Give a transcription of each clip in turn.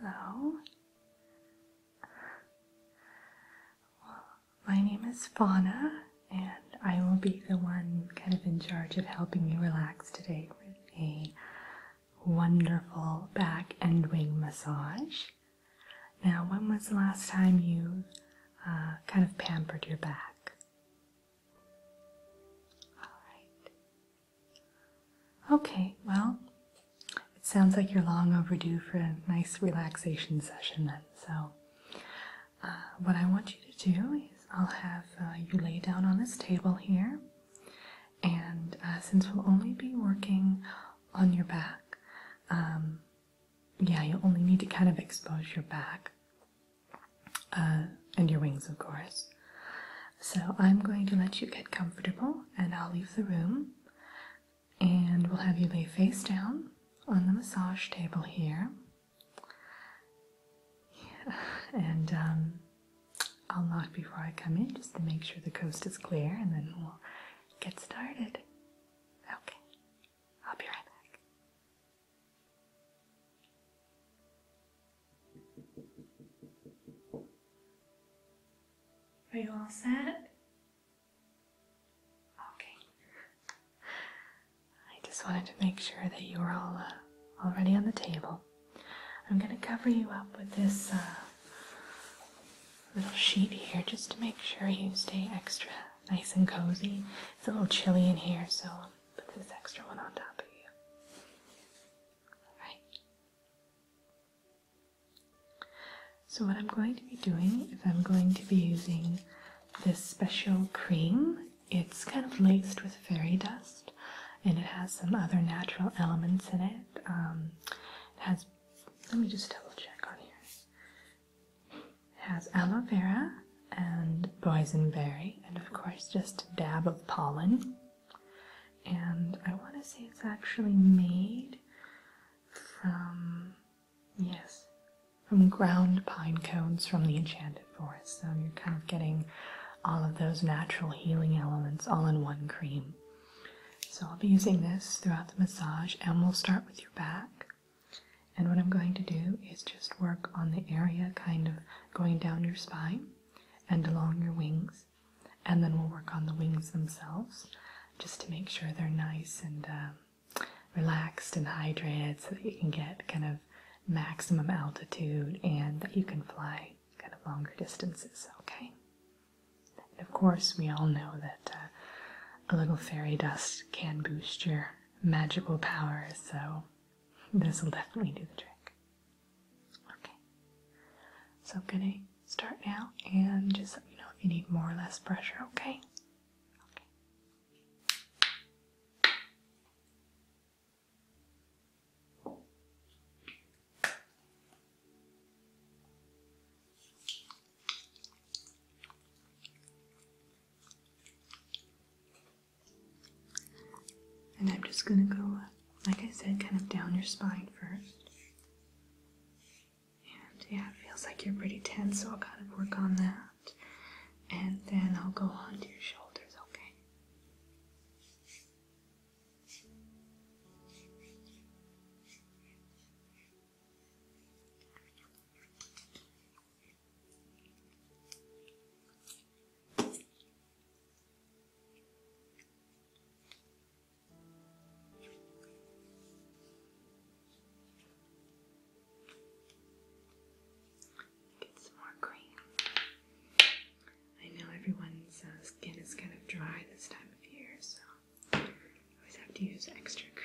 Hello. Well, my name is Fauna, and I will be the one kind of in charge of helping you relax today with a wonderful back and wing massage. Now, when was the last time you uh, kind of pampered your back? All right. Okay, well, it sounds like you're long overdue for a nice relaxation session then. So, uh, what I want you to do is I'll have uh, you lay down on this table here, and uh, since we'll only be working on your back, um, yeah, you only need to kind of expose your back and your wings, of course. So I'm going to let you get comfortable and I'll leave the room and we'll have you lay face down on the massage table here. And um, I'll knock before I come in just to make sure the coast is clear and then we'll get started. Okay, I'll be right back. Are you all set? Okay. I just wanted to make sure that you are all uh, already on the table. I'm going to cover you up with this uh, little sheet here just to make sure you stay extra nice and cozy. It's a little chilly in here, so i put this extra one on top of you. Alright. So what I'm going to be doing is I'm going to be using this special cream. It's kind of laced with fairy dust and it has some other natural elements in it. Um, it has, let me just double check on here. It has aloe vera and boysenberry and of course just a dab of pollen and I want to say it's actually made from yes from ground pine cones from the enchanted forest so you're kind of getting all of those natural healing elements all in one cream so I'll be using this throughout the massage and we'll start with your back and what I'm going to do is just work on the area kind of going down your spine and along your wings and then we'll work on the wings themselves just to make sure they're nice and um, relaxed and hydrated so that you can get kind of maximum altitude and that you can fly kind of longer distances, okay? And of course, we all know that uh, a little fairy dust can boost your magical powers, so this will definitely do the trick. Okay, so I'm gonna start now and just let me know if you need more or less pressure, okay? Okay. Okay. And I'm just going to go, like I said, kind of down your spine first. And yeah, it feels like you're pretty tense, so I'll kind of work on that. And then I'll go onto your shoulders, okay? Get some more cream. I know everyone's uh, skin is kind of dry this time of year, so I always have to use extra cream.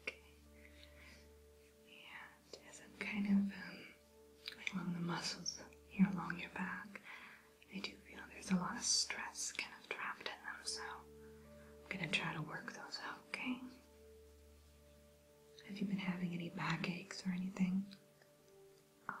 Okay. Yeah, as I'm kind of going um, along the muscles here along your back, I do feel there's a lot of stress kind of trapped in them, so I'm gonna try to work those out, okay? Have you been having any backaches or anything? Alright.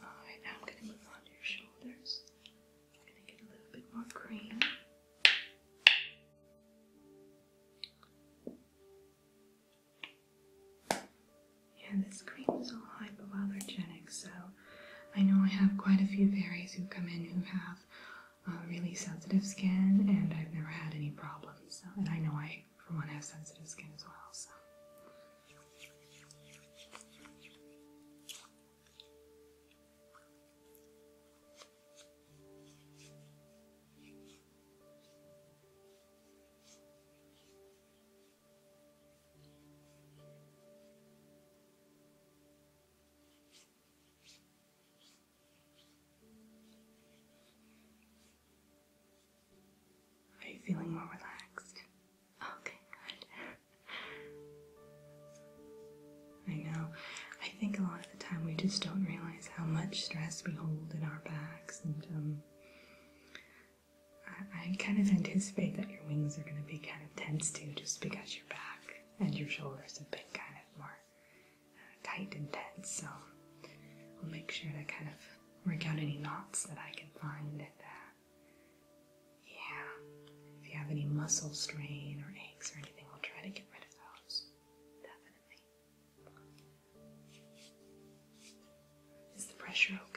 Alright, now I'm going to move on to your shoulders. I'm going to get a little bit more cream. Yeah, this cream is all hypoallergenic, so I know I have quite a few fairies who come in who have really sensitive skin, and I've never had any problems. and I know I, for one, have sensitive skin as well. So. Are you feeling more relaxed? Okay, good. I know. I think a lot of the time we just don't realize how much stress we hold in our backs, and um, I, I kind of anticipate that your wings are going to be kind of tense too, just because your back and your shoulders have been kind of more uh, tight and tense. So I'll make sure to kind of work out any knots that I can find. Uh, yeah, if you have any muscle strain or aches or anything, I'll try to get rid of those. Definitely. Is the pressure okay?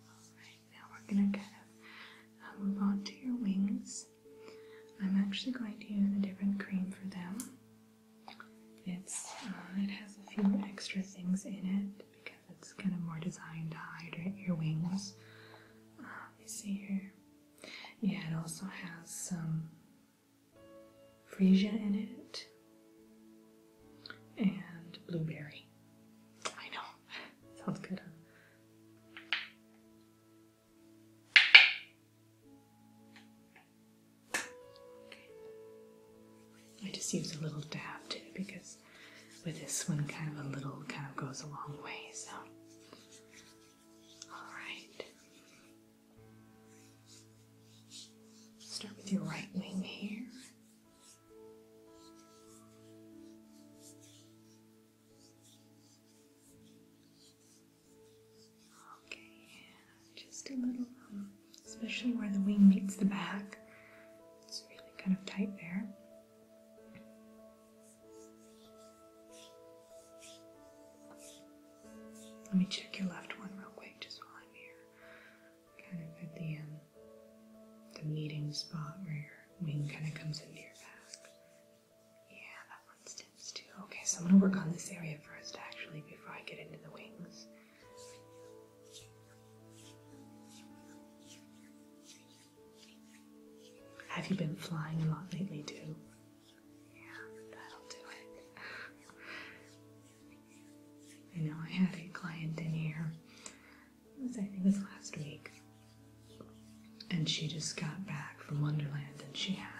Alright, now we're going to kind of uh, move on to your wings. I'm actually going to use a different cream for them. It's uh, It has a few extra things in it because it's kind of more designed to hydrate your wings. You uh, see here. Yeah, it also has some freesia in it and blueberry. I know, sounds good. I just use a little dab too because with this one, kind of a little kind of goes a long way. So, all right. Start with your right wing here. Okay, just a little, um, especially where the wing meets the back. It's really kind of tight there. Let me check your left one real quick just while I'm here kind of at the um, the meeting spot where your wing kind of comes into your back. Yeah, that one stiffs too. Okay, so I'm gonna work on this area first, actually, before I get into the wings. Have you been flying a lot lately too? Yeah, that'll do it. I know I had a client in here, was, I think it was last week, and she just got back from Wonderland and she had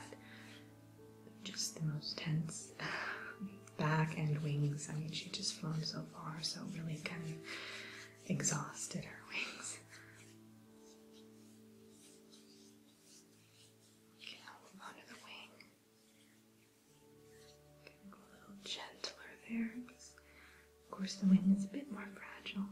just the most tense back and wings. I mean, she just flown so far, so really kind of exhausted her wings. Okay, i move on the wing. Okay, a little gentler there. Of course, the wind is a bit more fragile.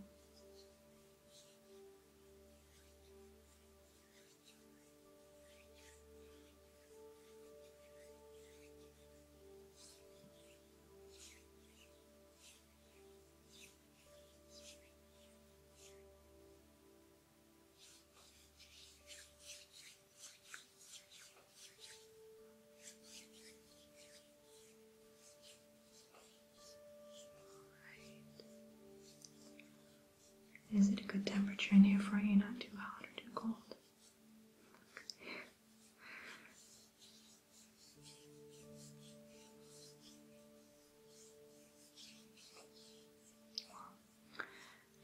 Is it a good temperature in here for you? Not too hot or too cold?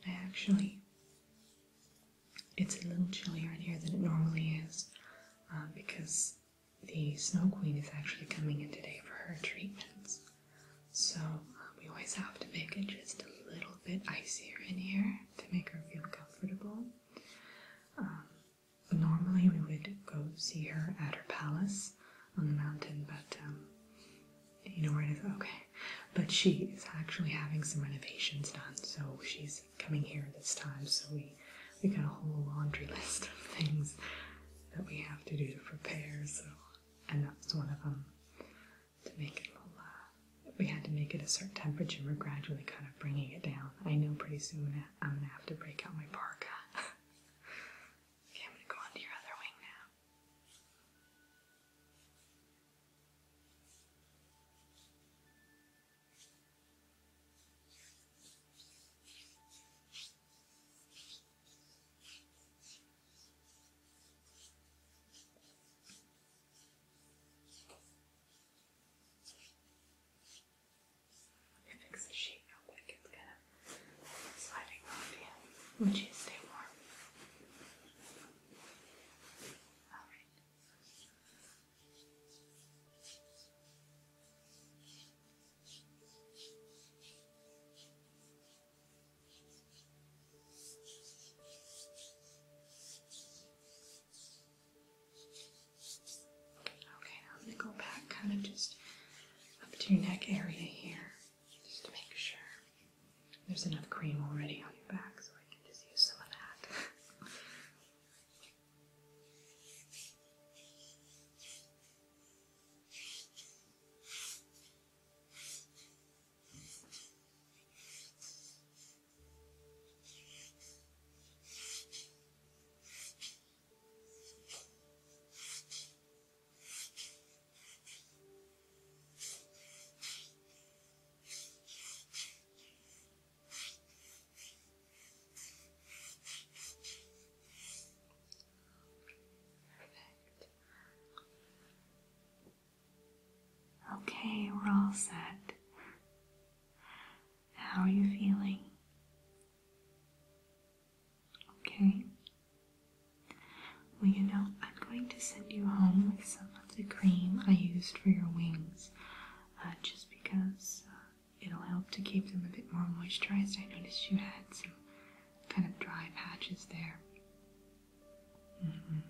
I actually, it's a little chillier in here than it normally is uh, because the Snow Queen is actually coming in today for her treatments. So uh, we always have to make it just a little bit icier in here to make her feel comfortable. Um, normally we would go see her at her palace on the mountain, but um, you know where it is? Okay. But she is actually having some renovations done, so she's coming here this time. So we we got a whole laundry list of things that we have to do to prepare. So and that was one of them to make it a little. Uh, we had to make it a certain temperature. We're gradually kind of bringing it down. I know pretty soon I'm gonna have to break out my parka. okay, i go on to your other wing now. It makes a shape, how it gets kind of sliding off you. Would you stay warm? Alright. Okay, I'm going to go back kind of just up to your neck area here just to make sure there's enough cream already on your back, so I can just use some of that. Okay, we're all set. How are you feeling? Okay? Well, you know, I'm going to send you home with some of the cream I used for your wings, uh, just because uh, it'll help to keep them a bit more moisturized. I noticed you had some kind of dry patches there. Mm-hmm.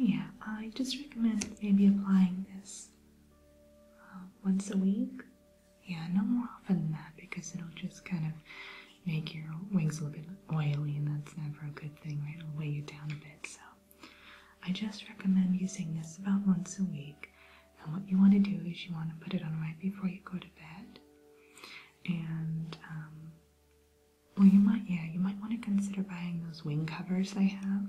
Yeah, I just recommend maybe applying this uh, once a week yeah, no more often than that because it'll just kind of make your wings a little bit oily, and that's never a good thing, right? It'll weigh you down a bit. So, I just recommend using this about once a week. And what you want to do is you want to put it on right before you go to bed. And, um, well, you might, yeah, you might want to consider buying those wing covers they have.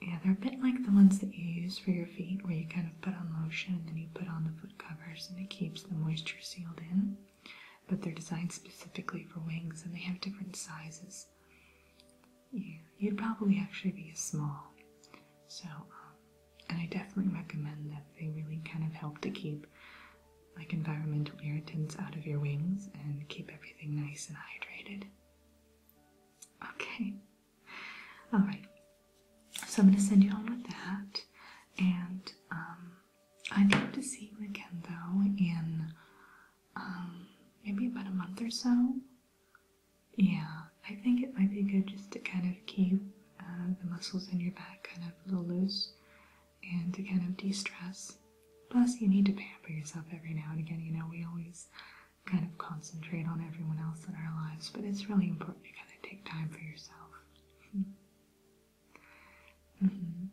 Yeah, they're a bit like the ones that you use for your feet, where you kind of put on lotion and then you put on the foot covers and it keeps the moisture sealed in. But they're designed specifically for wings and they have different sizes. Yeah, you'd probably actually be a small. So, um, and I definitely recommend that they really kind of help to keep like environmental irritants out of your wings and keep everything nice and hydrated. Okay. All right. So I'm going to send you on with that. And um, I'd love to see you again, though, in um, maybe about a month or so. Yeah, I think it might be good just to kind of keep uh, the muscles in your back kind of a little loose and to kind of de stress. Plus, you need to pamper yourself every now and again. You know, we always kind of concentrate on everyone else in our lives, but it's really important to kind of take time for yourself. Mm-hmm. Mm-hmm.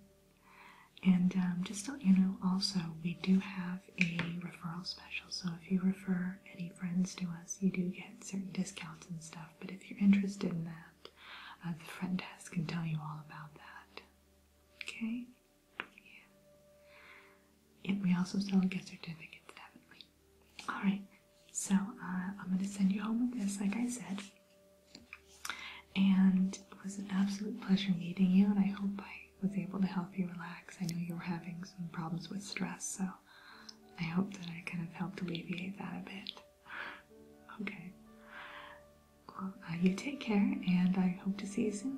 And um, just so you know, also, we do have a referral special. So if you refer any friends to us, you do get certain discounts and stuff. But if you're interested in that, uh, the front desk can tell you all about that. Okay? Yeah. And we also sell gift certificates, have Alright, so uh, I'm going to send you home with this, like I said. And it was an absolute pleasure meeting you, and I hope I was able to help you relax. I know you were having some problems with stress, so I hope that I kind of helped alleviate that a bit. Okay. Uh, you take care, and I hope to see you soon.